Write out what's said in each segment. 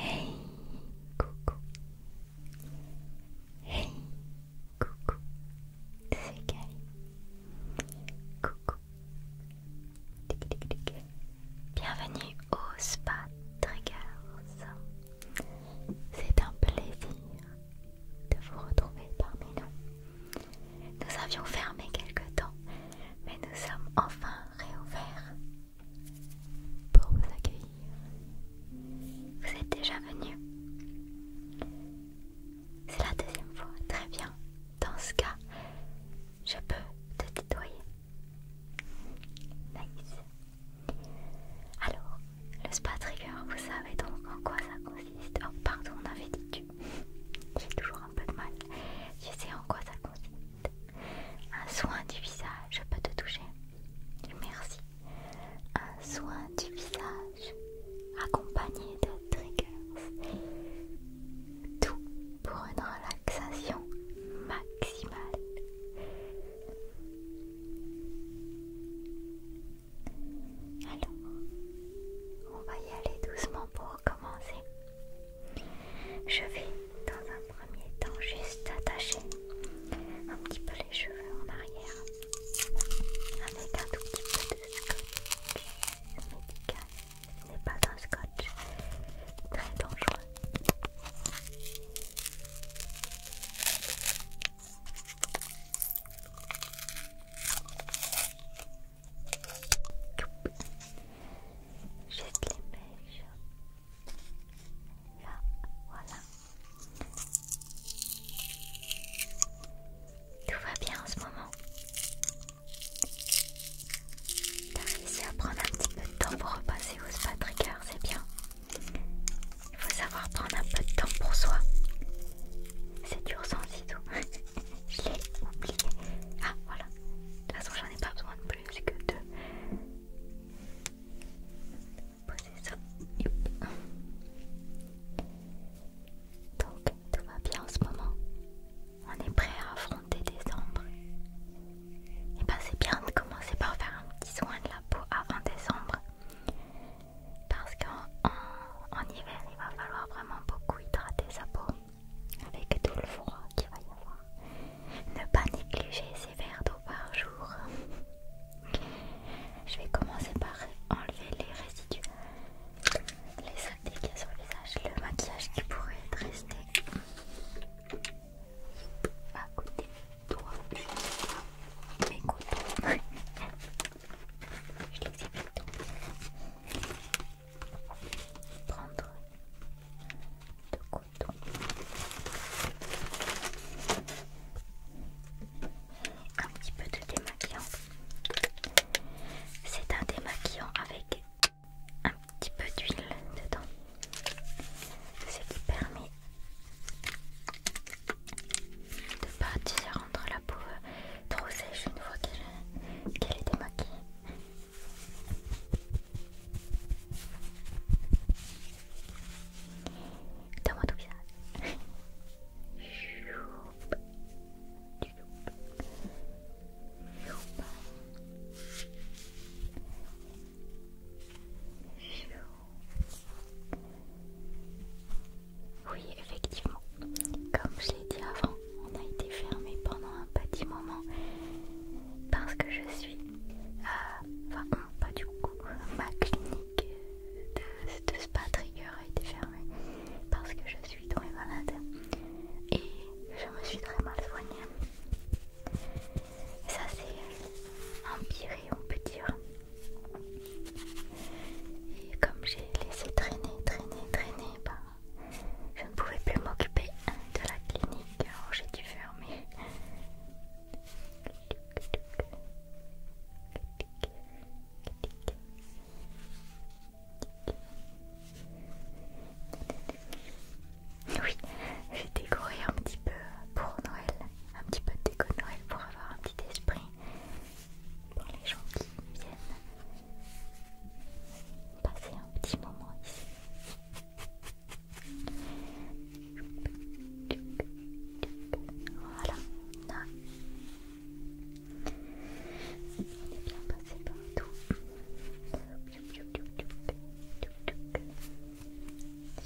Hey coucou Hey coucou C'est Kali Coucou tic, tic, Bienvenue au Spa Triggers C'est un plaisir de vous retrouver parmi nous Nous avions fermé quelque temps mais nous sommes enfin réouverts pour vous accueillir. Vous êtes déjà venu C'est la deuxième fois. Très bien. Dans ce cas, je peux te nettoyer. Nice. Alors, le spa trigger, vous savez donc en quoi ça consiste. Oh, pardon, on avait dit que J'ai toujours un peu de mal. Je sais en quoi ça consiste. Un soin du visage, je peux te toucher. Merci. Un soin du visage accompagné de triggers. Tout pour une relaxation maximale. Alors, on va y aller doucement pour commencer. Je vais dans un premier temps juste attacher un petit peu les cheveux en arrière avec un tout petit peu de scotch médical. Ce n'est pas un scotch très dangereux. J'ai les mèches. Là, voilà. Tout va bien en ce moment. T'as réussi à prendre un petit peu de temps pour repasser au spa c'est bien. Il faut savoir prendre un peu de temps pour soi. C'est dur sans tout. Je l'ai oublié. Ah voilà. De toute façon j'en ai pas besoin de plus que de... Donc, tout va bien en ce moment. On est prêt à affronter décembre. Et eh ben c'est bien de commencer par faire un petit soin de la peau avant décembre. Parce qu'en hiver, il va falloir vraiment beaucoup hydrater sa peau avec tout le froid qu'il va y avoir ne pas négliger ces verres d'eau par jour. Je vais commencer par enlever les résidus, les saletés qu'il y sur le visage, le maquillage qui pourrait être resté à côté de toi. Mes Je Prendre un petit peu de démaquillant. C'est un démaquillant avec un petit peu d'huile dedans. Ce qui permet de ne pas rendre la peau euh, trop sèche une fois qu'elle est démaquillée dans Oui, effectivement, comme je l'ai dit avant, on a été fermé pendant un petit moment parce que je suis, euh, enfin pas du coup, ma clinique de, spa trigger a été fermée parce que je suis tombée malade et je me suis très mal soignée. Ça s'est empiré, on peut dire. Et comme j'ai laissé traîner, traîner, traîner, ben, je ne pouvais plus m'occuper de la clinique, alors j'ai dû fermer. Oui, j'ai décoré un petit peu pour Noël, un petit peu de déco de Noël pour avoir un petit esprit pour les gens qui viennent passer un petit moment ici. Voilà, on est bien passé tout.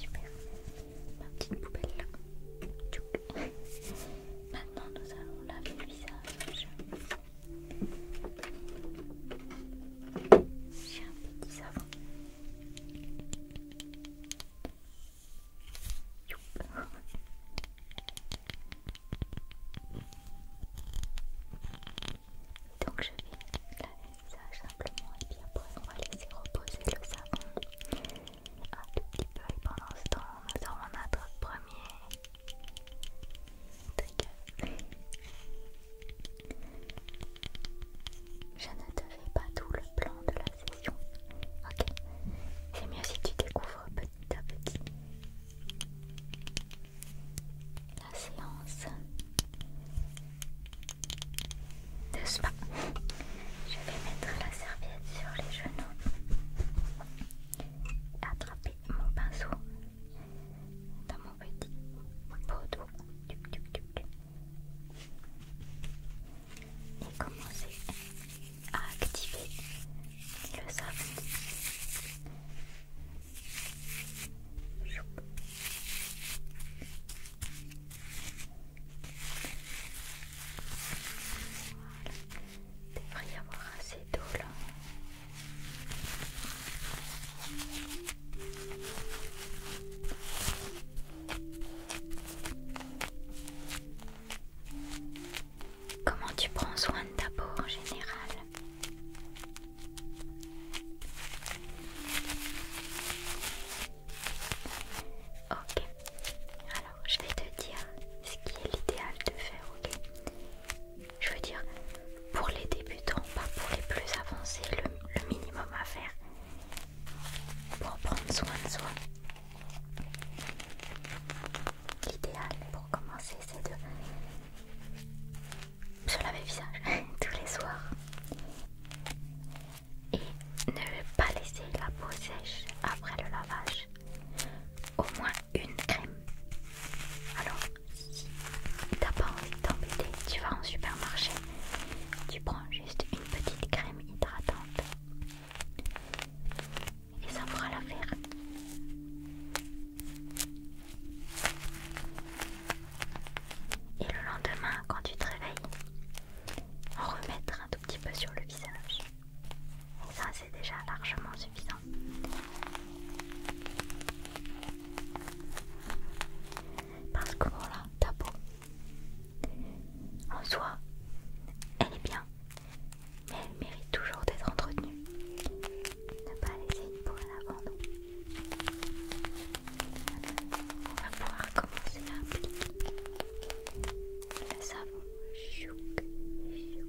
Super, ma petite poubelle là. Maintenant, nous allons laver le visage. J'ai un petit savon. Donc je vais laver ça simplement et puis après on va laisser reposer le savon un petit peu et pendant ce temps nous aurons notre premier je ne te fais pas tout le plan de la session. Ok C'est mieux si tu découvres petit à petit. La séance de spa. Je vais mettre la serviette sur les genoux. Attraper mon pinceau dans mon petit pot et commencez à activer le sable. Voilà. Il devrait y avoir assez d'eau là. Comment tu prends soin de ta peau en général Ok, alors je vais te dire ce qui est l'idéal de faire, ok Je veux dire, pour les débutants, pas pour les plus avancés, le, minimum à faire, pour prendre soin de soi. L'idéal pour commencer, c'est de se laver le visage tous les soirs et ne pas laisser la peau sèche après le lavage. Au moins une crème. Alors, si t'as pas envie de t'embêter, tu vas en supermarché, tu prends juste une petite crème hydratante et ça la faire Et le lendemain, quand tu te réveilles, en remettre un tout petit peu sur le visage. Et ça, c'est déjà largement suffisant. Parce que voilà, t'as beau. En soi, elle est bien, mais elle mérite toujours d'être entretenue. Ne pas laisser une peau à l'abandon. On va pouvoir commencer à appliquer le savon. Chouc, chouk, chouk.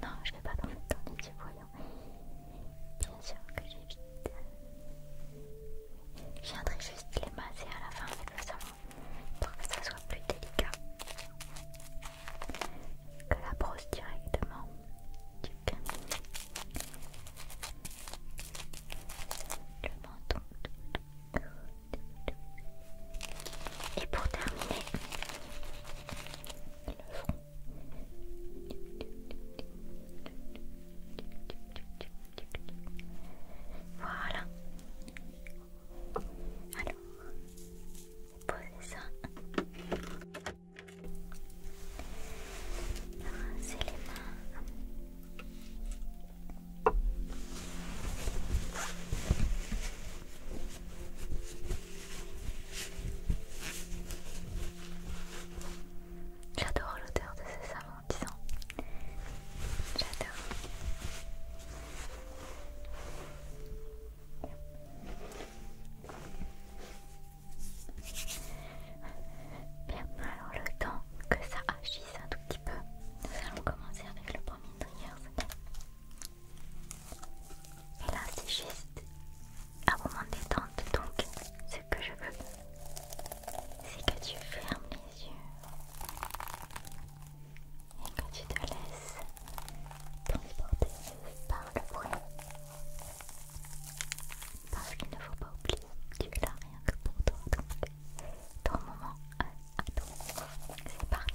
Non, je vais pas dans cette petits voyons. Bien sûr que j'évite. Je viendrai juste les masser à la fin avec le savon pour que ça soit plus délicat que la brosse directement du cabinet. Et pour terminer, le front. Voilà. Alors, posez ça les mains. J'adore l'odeur de ce savon, disant. J'adore. Bien, alors le temps que ça agisse un tout petit peu, nous allons commencer avec le premier trigger, Et là, c'est juste un moment détente, donc ce que je veux, c'est que tu fermes les yeux et que tu te laisses transporter par le bruit. Parce qu'il ne faut pas oublier, tu es là rien que pour toi. Donc, ton moment à euh, toi. C'est parti.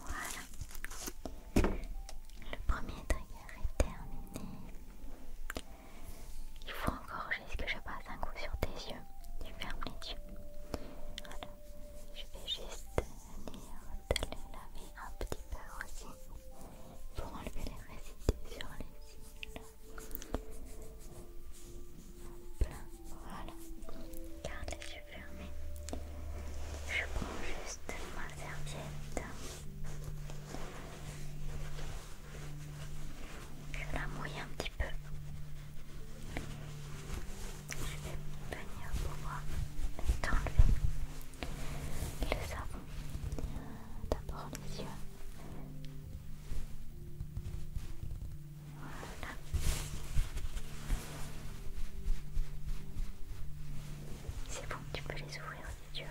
Voilà, le premier trigger est terminé. Il faut encore juste que je passe un coup sur tes yeux. Tu fermes les yeux. Voilà, je vais juste venir te laver un petit peu aussi pour enlever les résidus sur les cils. Voilà. Garde les yeux fermés. Je prends juste ma serviette. Je la mouille un petit peu. Je vais venir pouvoir enlever le savon. D'abord les yeux. C'est bon, tu peux les ouvrir si tu vas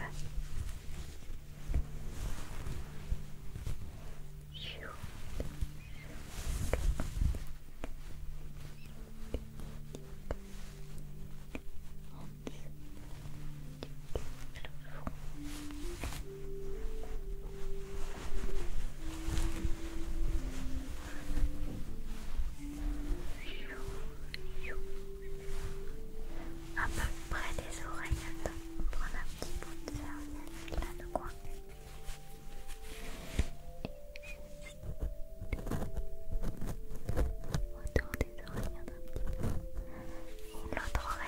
à peu près des oreilles, attends, on prend un petit bout de serviette là de coin. Et autour des oreilles oreille. Voilà.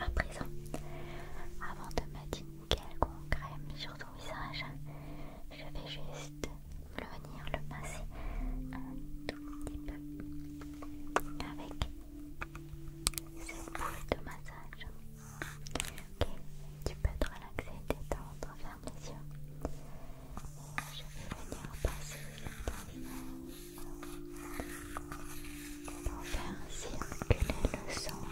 À présent, avant de mettre une quelconque crème sur ton visage, je vais juste venir le passer un tout petit peu avec cette boule de massage. Ok, tu peux te relaxer, détendre, ferme les yeux. Et je vais venir passer ton pour faire circuler le sang.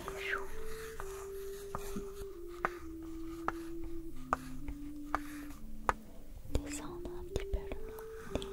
Les joues. Descendre un petit peu le nez et faire les lèvres.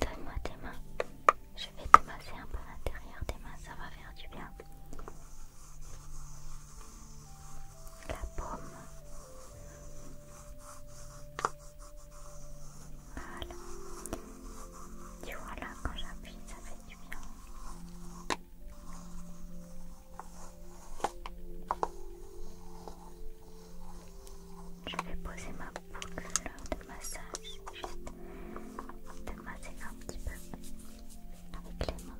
Donne-moi tes mains. Je vais te masser un peu l'intérieur des mains, ça va faire du bien. La paume. Voilà. Tu vois là, quand j'appuie, ça fait du bien. Je vais poser ma boucle de massage, juste de masser un petit peu avec les mains.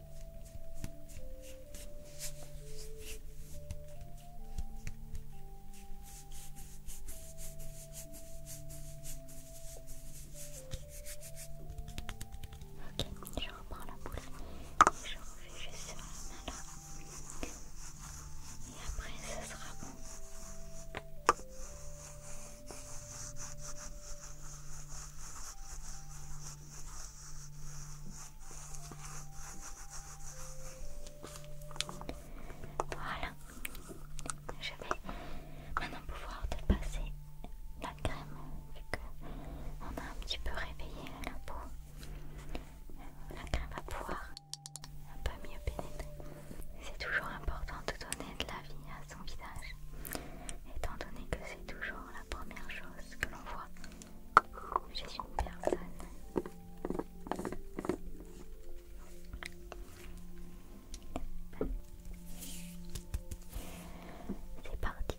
Ok, je reprends la boule et je refais juste sur la main là. Et après, ce sera bon. Voilà, je vais maintenant pouvoir te passer la crème vu qu'on a un petit peu réveillé la peau. La crème va pouvoir un peu mieux pénétrer. C'est toujours important de donner de la vie à son visage, étant donné que c'est toujours la première chose que l'on voit je une personne. C'est parti.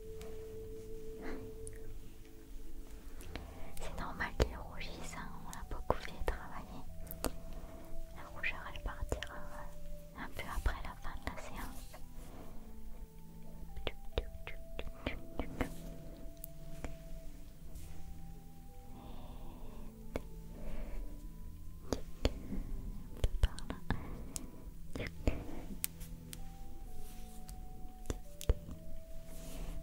C'est normal qu'il rougisse, on a beaucoup fait travailler. La rougeur elle partira euh, un peu après la fin de la séance.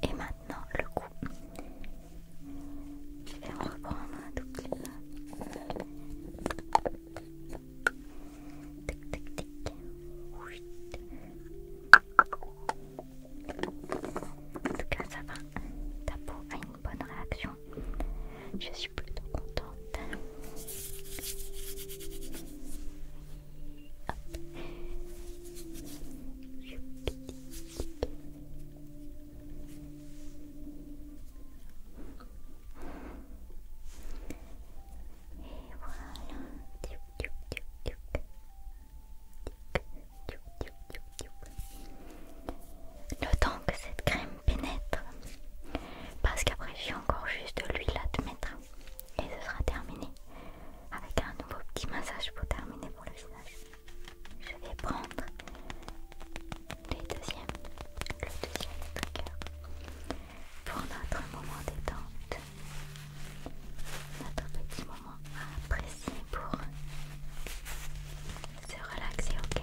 Et maintenant le cou. Je vais en reprendre un tout petit peu. Tic tic tic. En tout cas, ça va. Ta peau a une bonne réaction. Je suis plutôt contente. Et voilà Le temps que cette crème pénètre, parce qu'après j'ai encore juste de l'huile à te mettre. Et ce sera terminé avec un nouveau petit massage pour terminer pour le visage. Je vais prendre le deuxième, le deuxième trigger pour notre moment détente. Notre petit moment à apprécier pour se relaxer, ok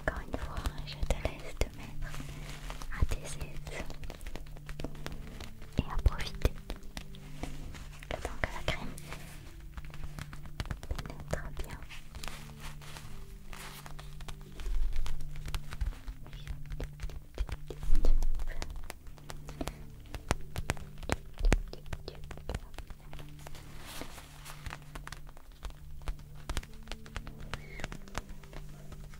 Encore une fois, je te laisse mettre à tes et à profiter. Attends que la crème pénètre bien.